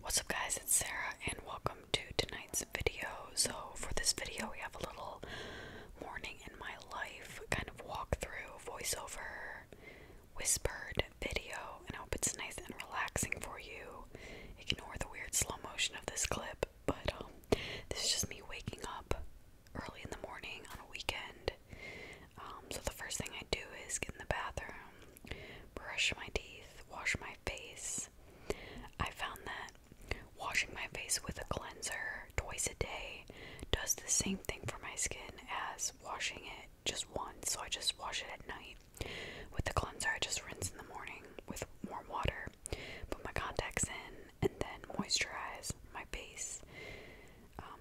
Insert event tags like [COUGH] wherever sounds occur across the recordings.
What's up guys, it's Sarah and welcome to tonight's video. So for this video we have a little morning in my life kind of walk-through, voiceover, whispered video and I hope it's nice and relaxing for you. Ignore the weird slow motion of this clip, but um, this is just me waking up early in the morning on a weekend. Um, so the first thing I do is get in the bathroom, brush my teeth, wash my face. I found that washing my face with a cleanser twice a day does the same thing for my skin as washing it just once. So I just wash it at night. With the cleanser, I just rinse in the morning with warm water, put my contacts in, and then moisturize my face. Um,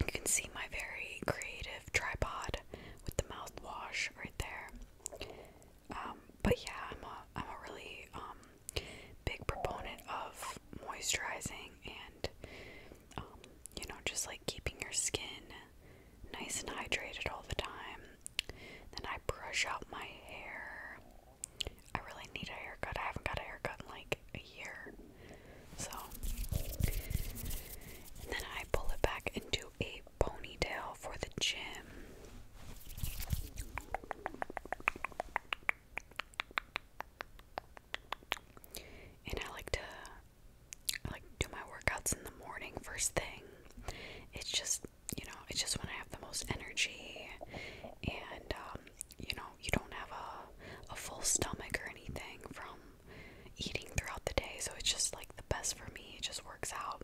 you can see my very creative tripod with the mouthwash right there. Um, but yeah, I'm a I'm a really um, big proponent of moisturizing and um, you know, just like keeping your skin nice and hydrated all the time. Then I brush out my hair. I really need a haircut. I haven't got a haircut in like a year. So and then I pull it back into a ponytail for the gym. And I like to like do my workouts in the morning first thing. It's just, you know, it's just when I have the most energy and um, you know, you don't have a a full stomach or anything from eating throughout the day, so it's just like the best for me. It just works out.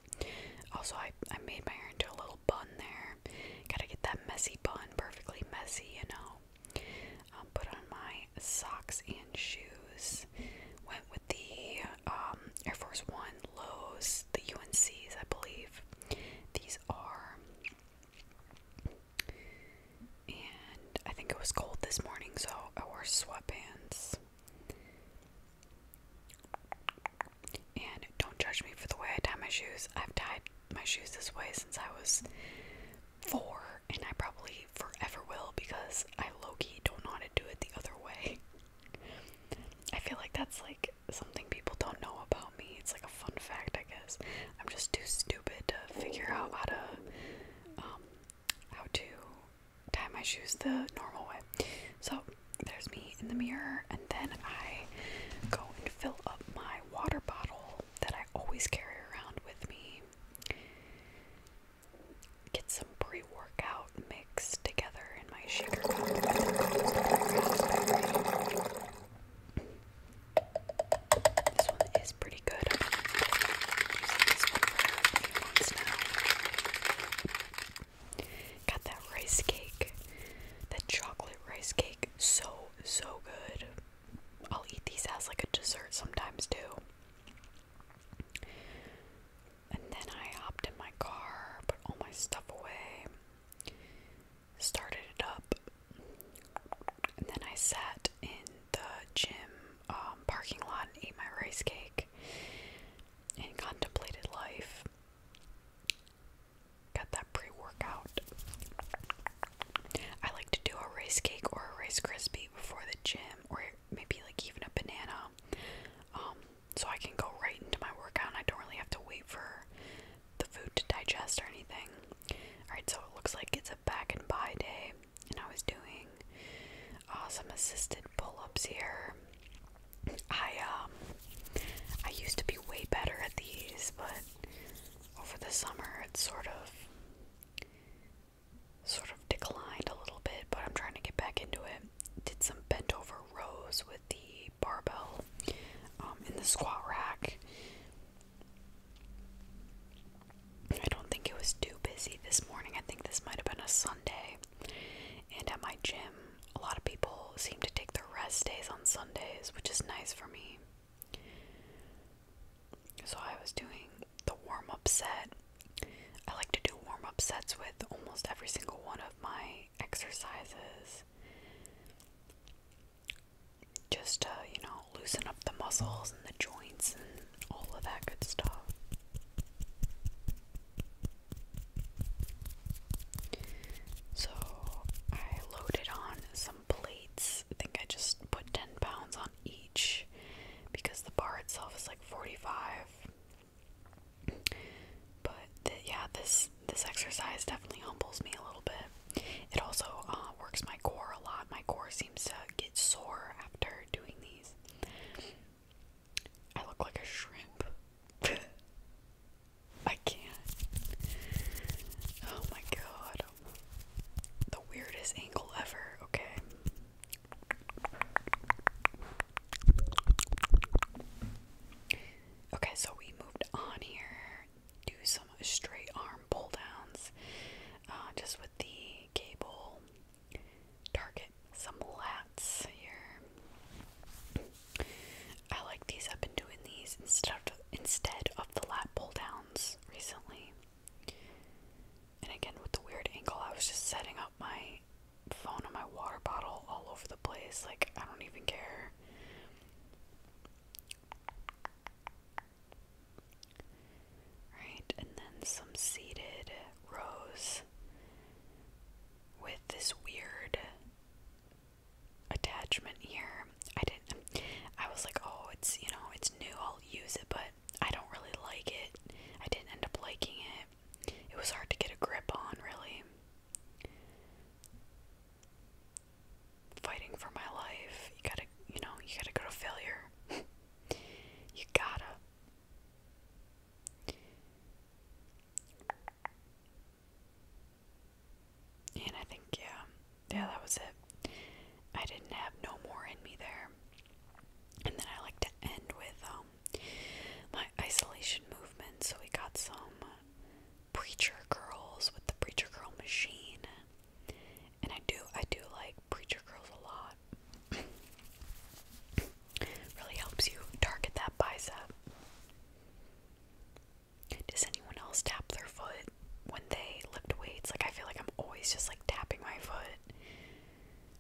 Also, I, I made my hair into a little bun there. Gotta get that messy bun, perfectly messy, you know. Um, put on my socks and shoes. Went with the um, Air Force One Lows, the UNCs, I believe. These are and I think it was cold this morning, so I wore sweatpants. And don't judge me for the way I tie my shoes. I've tied my shoes this way since I was four, and I probably forever will because I low key don't know how to do it the other way. [LAUGHS] I feel like that's like something people don't know about me. It's like a fun fact, I guess. I'm just too stupid to figure out how to um, how to tie my shoes the normal way. So there's me in the mirror, and then I go and fill up my water bottle that I always carry around with me. Get some pre workout mixed together in my shaker cup This one is pre good. I've using this one for a few months now. Got that rice cake, that chocolate rice cake, so so good. I'll eat these as like a dessert sometimes too. And then I hopped in my car, put all my stuff away, started it up, and then I sat in the gym um, parking lot and ate my rice cake and contemplated life. Got that pre workout. I like to do a rice cake or a rice crispy before the gym, or maybe like even a banana. Um, so I can go right into my workout and I don't really have to wait for the food to digest or anything. Alright, so it looks like it's a back and buy day and I was doing awesome assisted pull-ups here. I um I used to be way better at these, but over the summer it sort of sort of declined a little bit, but I'm trying to get back into it. Did some bent over rows with the barbell um, in the squat rack. I don't think it was too busy this morning. I think this might have been a Sunday. And at my gym, a lot of people seem to take their rest days on Sundays, which is nice for me. So I was doing the warm up set. I like to do warm up sets with almost every single one of my exercises. Just to, you know, loosen up the muscles and the joints and all of that good stuff. So I loaded on some plates. I think I just put 10 pounds on each because the bar itself is like 45. But yeah, this this exercise definitely humbles me a little bit. It also uh, works my core a lot. My core is seems to get sore after doing these. I look like a shrimp. [LAUGHS] I can't. Oh my god. The weirdest angle ever, okay. Okay, so we moved on here. Do some straight arm pull downs uh, just with the cable target. Some lats here. I like these. I've been doing these instead of instead of the lat pull downs recently. And again, with the weird angle, I was just setting up my phone and my water bottle all over the place. Like I don't even care. Right, and then some seeded rows with this weird attachment here. I didn't I was like, "Oh, it's, you know, it's new. I'll use it, but I don't really like it." I didn't end up liking it. It was hard to get a grip on, really fighting for my life. You gotta, you know, you gotta go to failure. [LAUGHS] you gotta. And I think, yeah, yeah, that was it. I didn't have no more in me there. And then I like to end with um my isolation movement. So we got some preacher girls with the preacher girl machine. And I do I do like preacher curls a lot. really helps you target that bicep. Does anyone else tap their foot when they lift weights? Like I feel like I'm always just like tapping my foot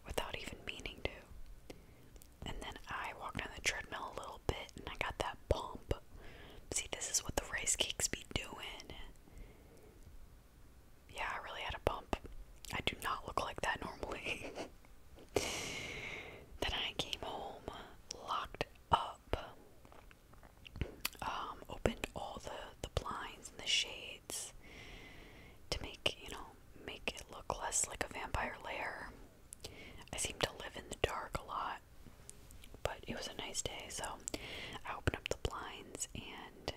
without even meaning to. And then I walked on the treadmill a little bit and I got that pump. See, this is what the rice be doing. Yeah, I really had a bump. I do not look like that normally. [LAUGHS] then I came home locked up. Um, opened all the the blinds and the shades to make, you know, make it look less like a vampire lair. I seem to live in the dark a lot. But it was a nice day, so I opened up the blinds and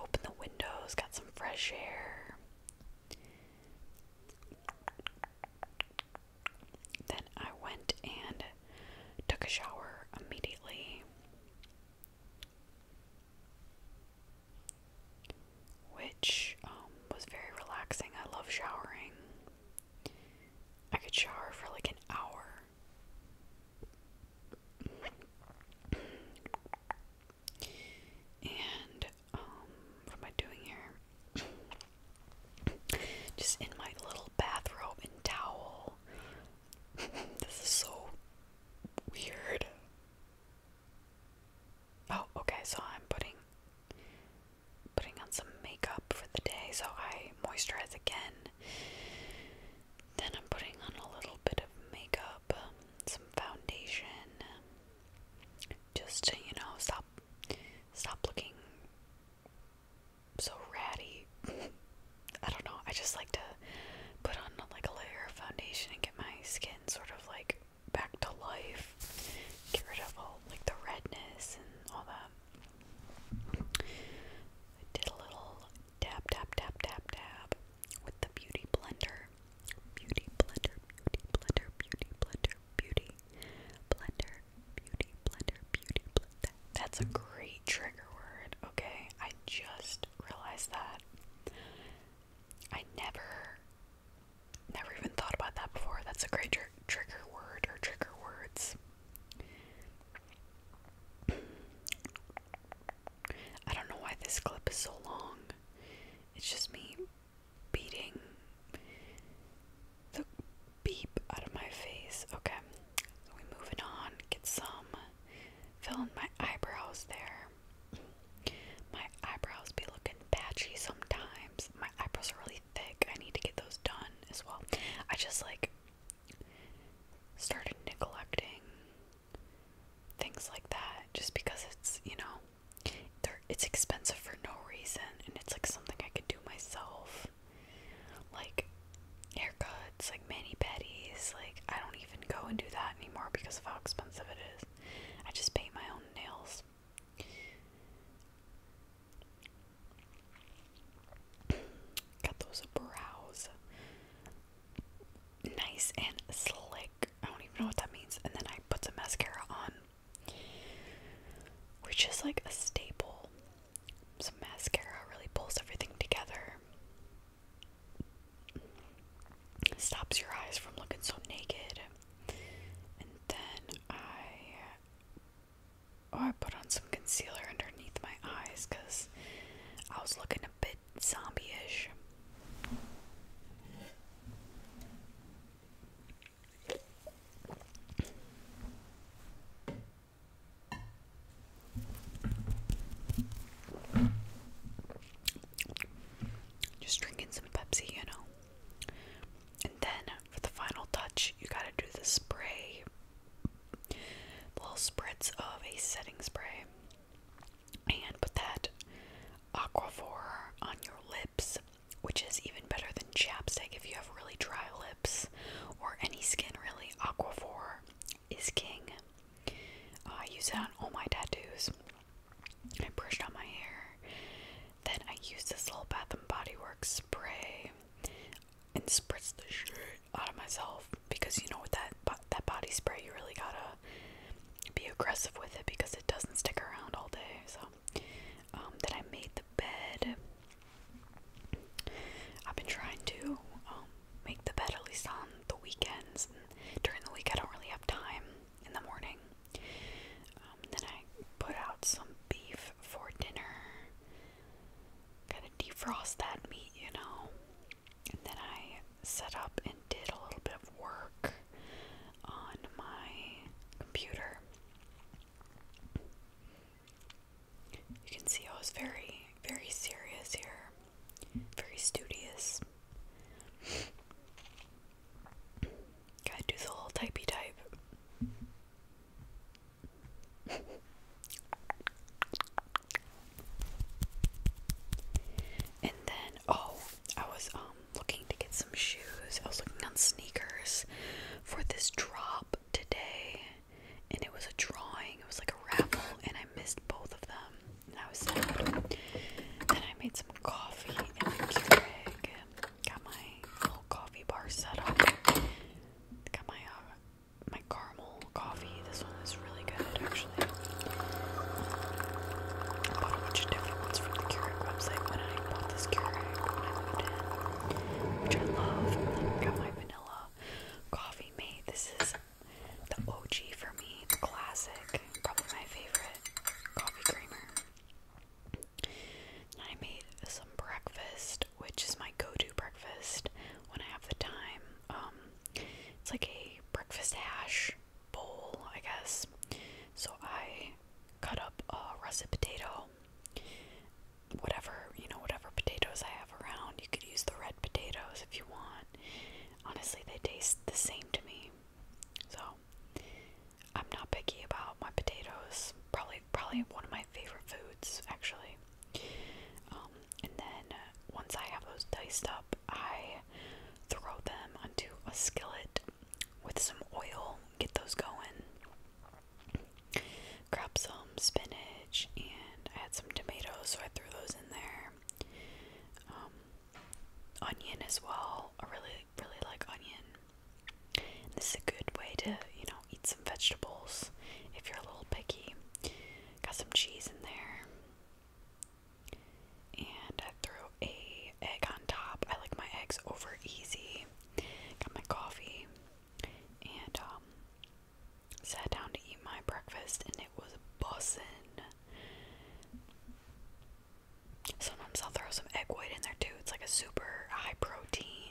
opened the windows, got some fresh air. Then I went and took a shower immediately, which um, was very relaxing. I love showering. I could shower for like an hour and um, what am I doing here? Just in my little bathrobe and towel. this is so weird. Oh, okay, so I'm putting putting on some makeup for the day, so I moisturize again then I'm putting on a little bit of makeup, um, some foundation, just to you know stop stop looking so ratty. [LAUGHS] I don't know. I just like to put on like a layer of foundation and get my skin sort of like back to life. Get rid of all like the redness and all that did a little dab, dab, dab, dab, dab with the beauty blender. Beauty blender, beauty blender, beauty blender, beauty blender, beauty blender, beauty blender. That's a great trigger word, okay? I just realized that. I never, never even thought about that before. That's a great tr trigger word or trigger words. I don't know why this clip is so long. It's just me beating the beep out of my face. Okay, so we moving on. Get some. Fill in my eyebrows there. My eyebrows be looking patchy sometimes. My eyebrows are really thick. I need to get those done as well. I just like started neglecting things like that just because it's, you know, it's expensive for no reason and it's like something I could do myself. Like haircuts, like mani pedis, like I don't even go and do that anymore because of how expensive it is. I just paint my own nails. Got those brows nice and slick. I don't even know what that means. And then I put some mascara on, which is like a staple. Some mascara really pulls everything together. Stops your eyes from looking so naked. And then I Oh, I put on some concealer underneath my eyes because I was looking a bit zombie ish. Just drinking some Pepsi, you know. And then for the final touch, you gotta do the spray little spritz of a setting spray and put that aquaphor on your lips, which is even better than chapstick if you have really dry lips or any skin, really. Aquaphor is king. Uh, I use that on all my tattoos. I brushed on my hair. Then I use this little Bath and Body Works spray and spritz the shit out of myself because you know with that that body spray you really gotta be aggressive with it because it doesn't stick around all day. So um, then I made the bed. I've been trying to um, make the bed at least on the weekends. And during the week I don't really have time in the morning. Um, then I put out some beef for dinner kind of defrost that meat, you know. And then I set up and did a little bit of work on my computer. You can see I was very, very serious here, very studious. Gotta do the little typey type and then, oh, I was um looking to get some shoes. I was looking on sneakers for this drop today, and it was a drawing. It was like a raffle, and I missed both of them. I was sad. Then I made some coffee in the Keurig. Got my little coffee bar set up. Got my uh, my caramel coffee. This one is really good, actually. I bought a bunch of different ones from the Keurig website when I bought this Keurig when I moved in, which I love. I got my vanilla coffee made. This is the OG for me, the classic, probably my favorite coffee creamer. I made some breakfast, which is my go-to breakfast when I have the time. Um, it's like a breakfast hash bowl, I guess. So I cut up a russet potato, whatever you know, whatever potatoes I have around. You could use the red potatoes if you want. Honestly, they taste the same to me. So I'm not picky about my potatoes. Probably, probably one of my favorite foods, actually. Um, and then uh, once I have those diced up, I throw them onto a skillet with some oil. Get those going. Grab some spinach, and I had some tomatoes, so I threw those in there. Um, onion as well. I really really like onion. this is a good way to, you know, eat some vegetables if you're a little picky. Got some cheese in there. And I threw a egg on top. I like my eggs over easy. Got my coffee and um sat down to eat my breakfast and it was bussin'. Sometimes I'll throw some egg white in there too. It's like a super high protein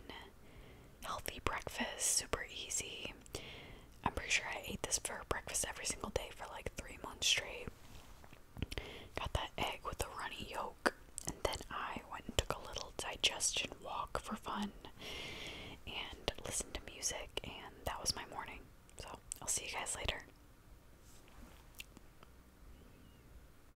healthy breakfast, super easy. I'm pretty sure I ate this for breakfast every single day for like three months straight. Got that egg with a runny yolk, and then I went and took a little digestion walk for fun and listened to music, and that was my morning. So I'll see you guys later.